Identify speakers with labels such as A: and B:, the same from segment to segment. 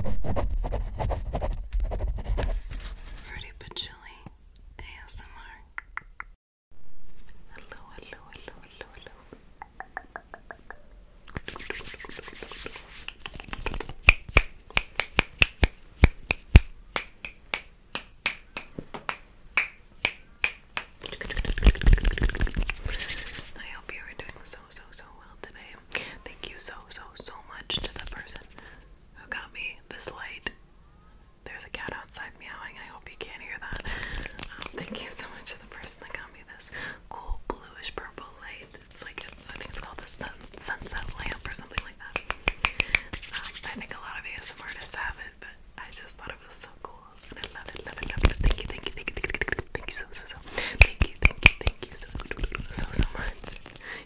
A: Fruity but ASMR. Hello, hello, hello, hello, hello. I hope you are doing so so, so well today. Thank you so, so, so much to the person who got me this light. There's a cat outside meowing. I hope you can hear that. Um, thank you so much to the person that got me this cool bluish purple light. It's like it's I think it's called the sunset lamp or something like that. Um, I think a lot of ASM artists have it, but I just thought it was so cool and I love it, love it, love it. Thank you, thank you, thank you, thank you, thank you, thank you so so so. Thank you, thank you, thank Thank you so, so, much.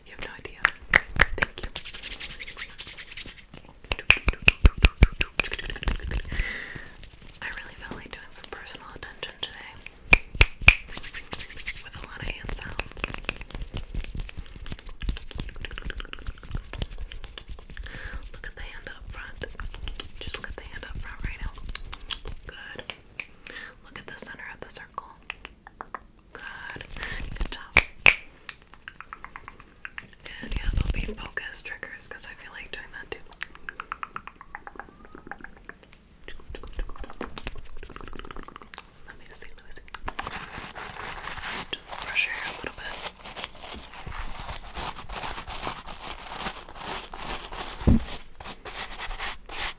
A: You have no idea. Thank you. I really felt like doing some personal attention today with a lot of hand sounds. Look at the hand up front. Just look at the hand up front right now. Good. Look at the center of the circle. Good. Good job. And yeah, they'll be focus triggers because I feel like doing that too. Let me see, let me see. Just brush your hair a little bit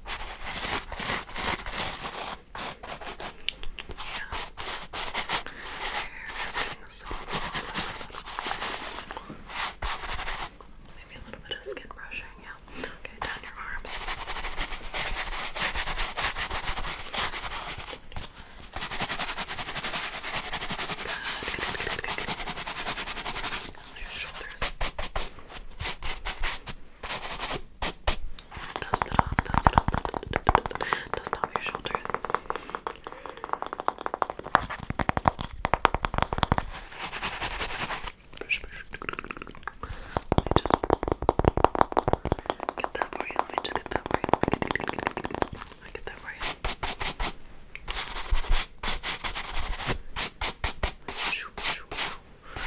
A: so Maybe a little bit of skin brushing, yeah. Okay, down your arms. Good, good, good, good, good. Down your shoulders. Good. Does not, does not, does not your shoulders. Push, push. Let me just get that for you. Let me just get that for you. I get that for you. Shoo, shoo, shoo, Good, good, good,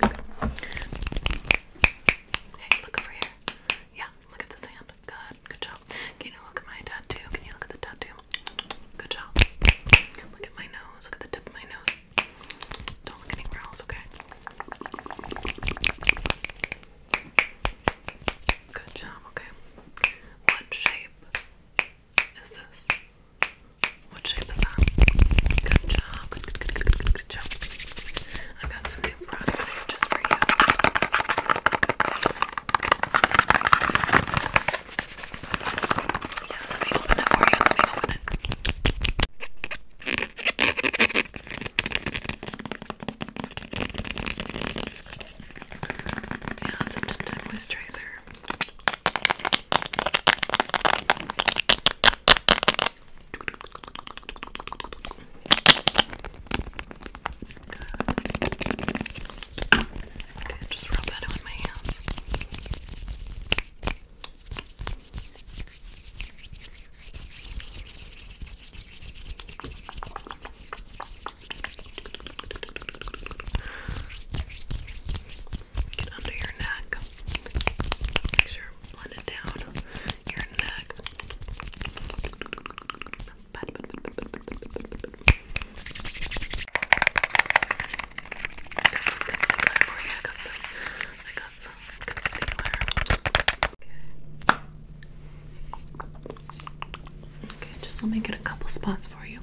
A: good. Hey, look over here. Yeah, look at this hand. Good, good job. Can you look at my tattoo? Can you look at the tattoo? Good job. Look at my nose. Look at the tip of my nose. Don't look anywhere else, okay? Good job, okay. What shape is this? What shape is that? Good job, good, job. i got some new products here just for you. Yeah, it's a tinted moisturizer. Good. Okay, just rub that in with my hands. Get under your neck. Make sure you blend it down your neck just let me get a couple spots for you.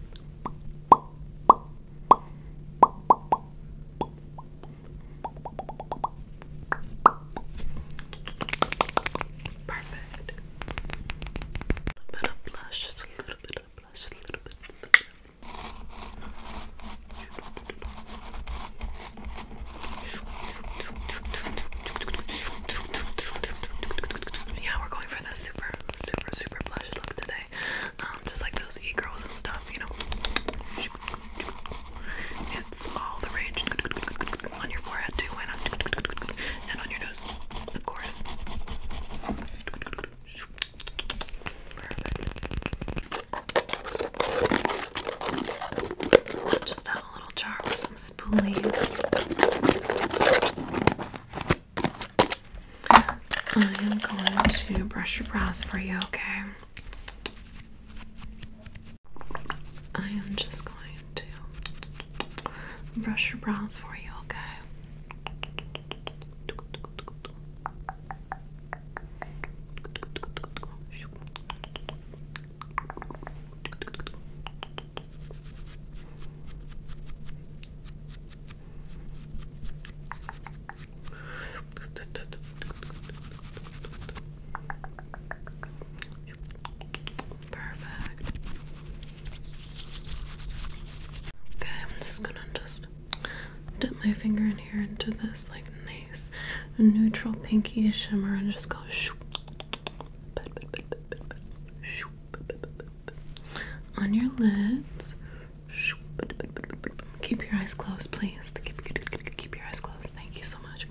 A: Perfect. A bit blush, just a little bit of blush, a little bit. Yeah, we're going for the super, super, super blush look today. Um, just like those e-girls and stuff, you know. It's all the rage on your forehead too, And on your nose, of course. Perfect. Just have a little jar with some spoolies. I am going to brush your brows for you, okay? I am just going to brush your brows for you, okay? Perfect. Okay, I'm just gonna just dip my finger in here into this like a neutral pinky shimmer and just go on your lids. keep your eyes closed, please. keep your eyes closed. Thank you so much.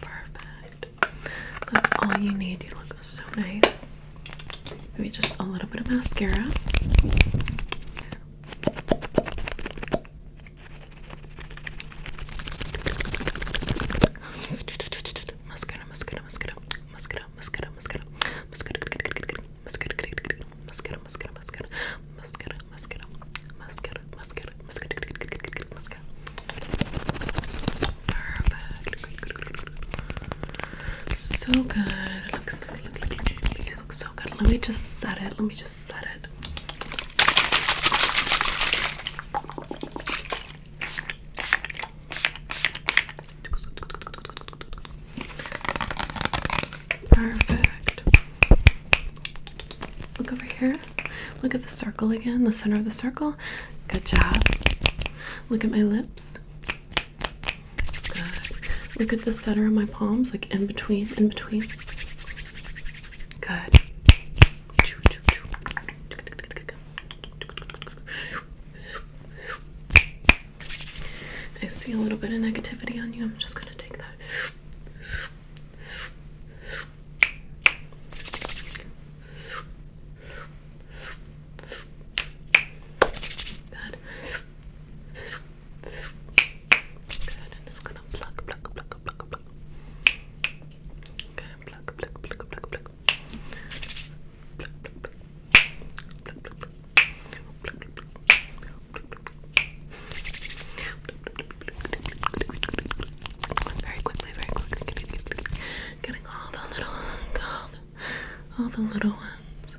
A: Perfect. That's all you need. You look so nice. Maybe just a little bit of mascara. Mascara, mascara, mascara, mascara, mascara, mascara, mascara, mascara, mascara, mascara, mascara, mascara, mascara, mascara, mascara, So good. These so good. Let me just set it. Let me just set it. Perfect. Look over here. Look at the circle again, the center of the circle. Good job. Look at my lips. Look at the center of my palms, like in between, in between. Good. I see a little bit of negativity on you. I'm just going to take that. Good. Good, and it's gonna pluck, pluck, pluck, pluck, pluck. Okay, pluck, pluck, pluck, pluck, pluck. Pluck, pluck, pluck. Pluck, pluck, pluck. Pluck, pluck, pluck. Very quickly, very quickly, getting, getting all the little, all the, all the little ones.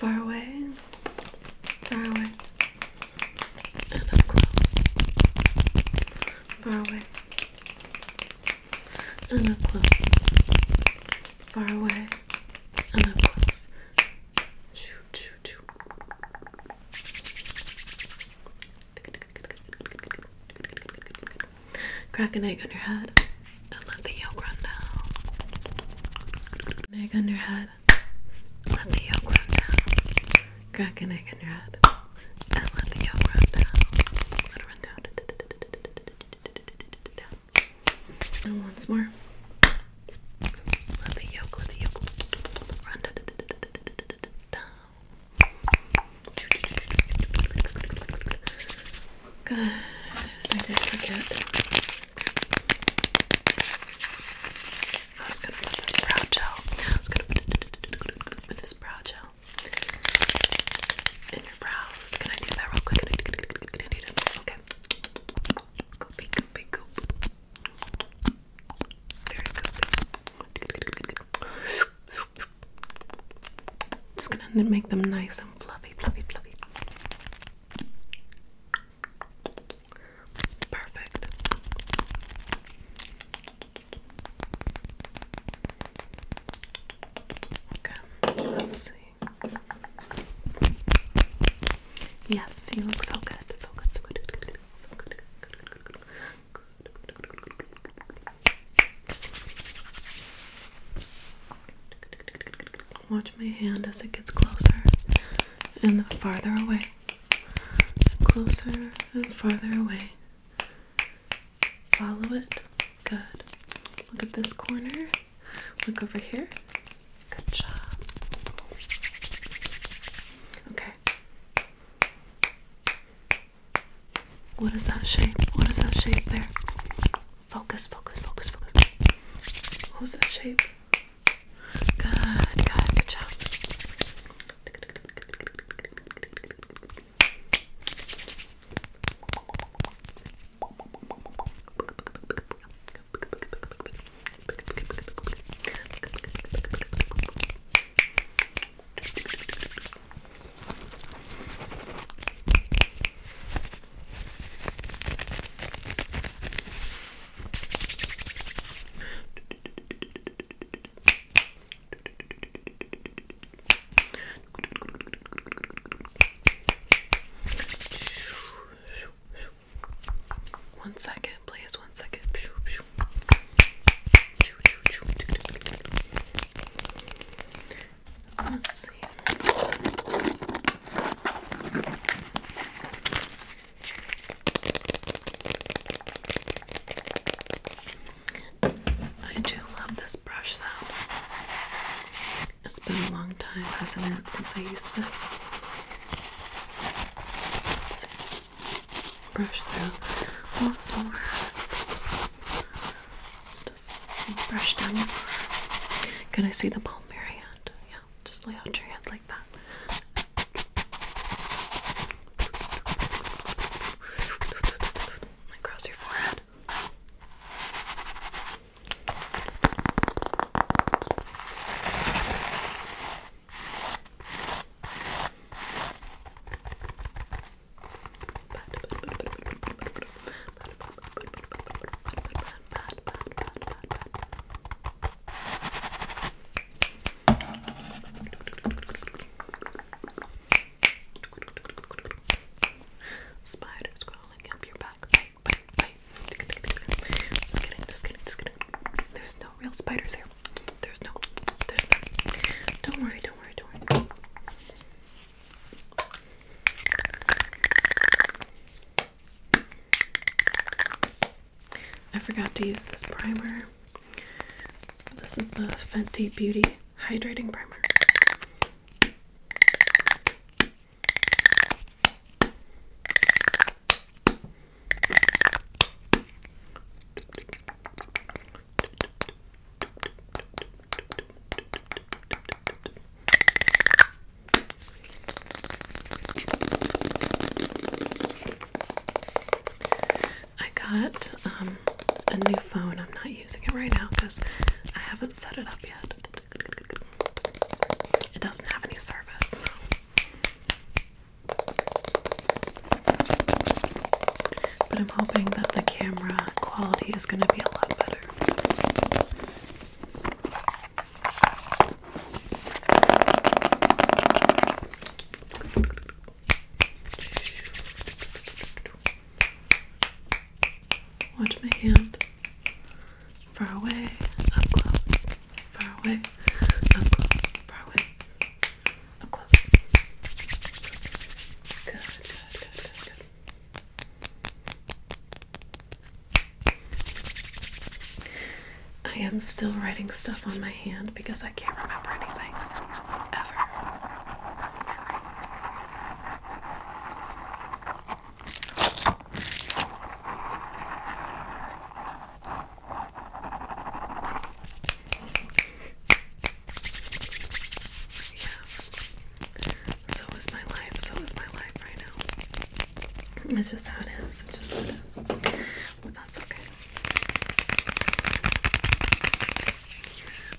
A: Far away, far away, and up close. Far away, and up close. Far away, and up close. Shoot, shoot, shoot. Crack an egg on your head and let the yolk run down. egg on your head, let the yolk run down. Crack an egg on your head and let the yolk run down. Let it run down. down. And once more. Let the yolk, let the yolk run down. I just forget. I was gonna put this brow gel. I was gonna put, this brow gel in your brows. Can I do that real quick? Okay. Just gonna make them nice and fluffy, fluffy, fluffy. Perfect. Okay, let's see. Yes, you look so good. So good, so good, so good. Watch my hand as it gets closer and farther away. Closer and farther away. Follow it. Good. Look at this corner. Look over here. Good job. Okay, what is that shape? What is that shape there? Focus, focus, focus, focus. What was that shape? Good, good, good job. One second, please. One second. I do love this brush sound. It's been a long time, hasn't it, since I used this? brush through once more. Just brush down your arm. Can I see the palm of your hand? Yeah, just lay out your hand like that. Across your forehead. Spiders crawling up your back. Just kidding, just kidding, just kidding. There's no real spiders here. There's no. Don't worry. Don't worry. Don't worry. I forgot to use this primer. This is the Fenty Beauty Hydrating Primer. I got um, a new phone. I'm not using it right now because I haven't set it up yet. It doesn't have any service. But I'm hoping that the camera quality is going to be a lot better. Watch my hand. Far away, up close. Far away, up close. Far away, I am still writing stuff on my hand because I can't remember anything. Ever. So is my life. So is my life right now. It's just how it is. It's just how it is. But that's okay.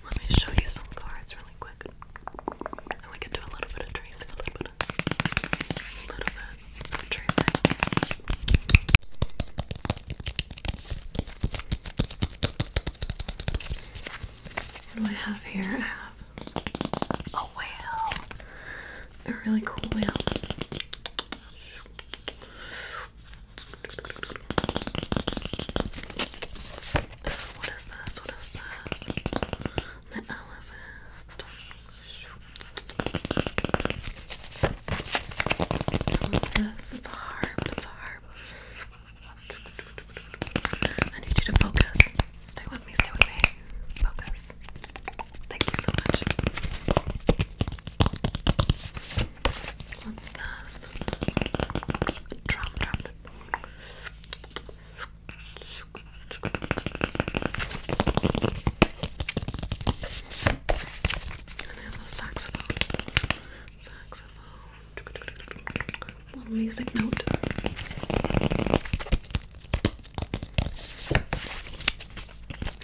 A: Let me show you some cards really quick. And we can do a little bit of tracing, a little bit of, a little bit of tracing. I have here? I have a whale. A really cool whale. What is this? What is this? The elephant this? It's a harp. It's I need you to focus. Stay with me. Stay with me. Focus. Thank you so much. What's this? Drum, drum. And I saxophone saxophone. Little music note.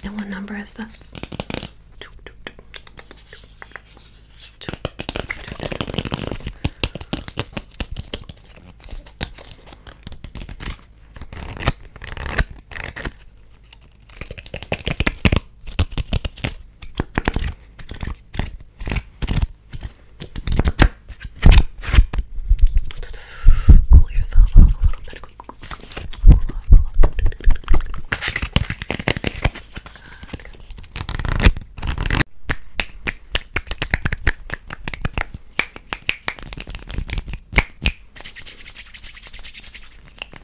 A: And what number is this? Cool yourself off a little bit. Cool off, cool off.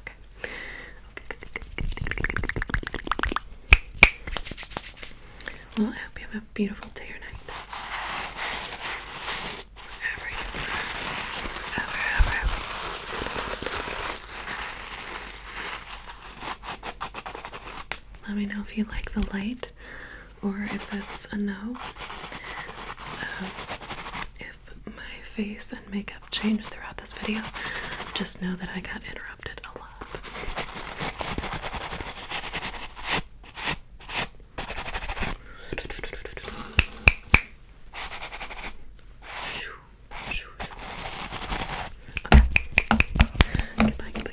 A: Okay. Well, I hope you have a beautiful day or night. Let me know if you like the light or if it's a no. Um, my face and makeup change throughout this video, just know that I got interrupted a lot. Okay. I love you. Goodbye, goodbye,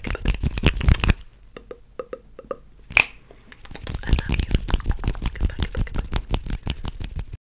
A: goodbye.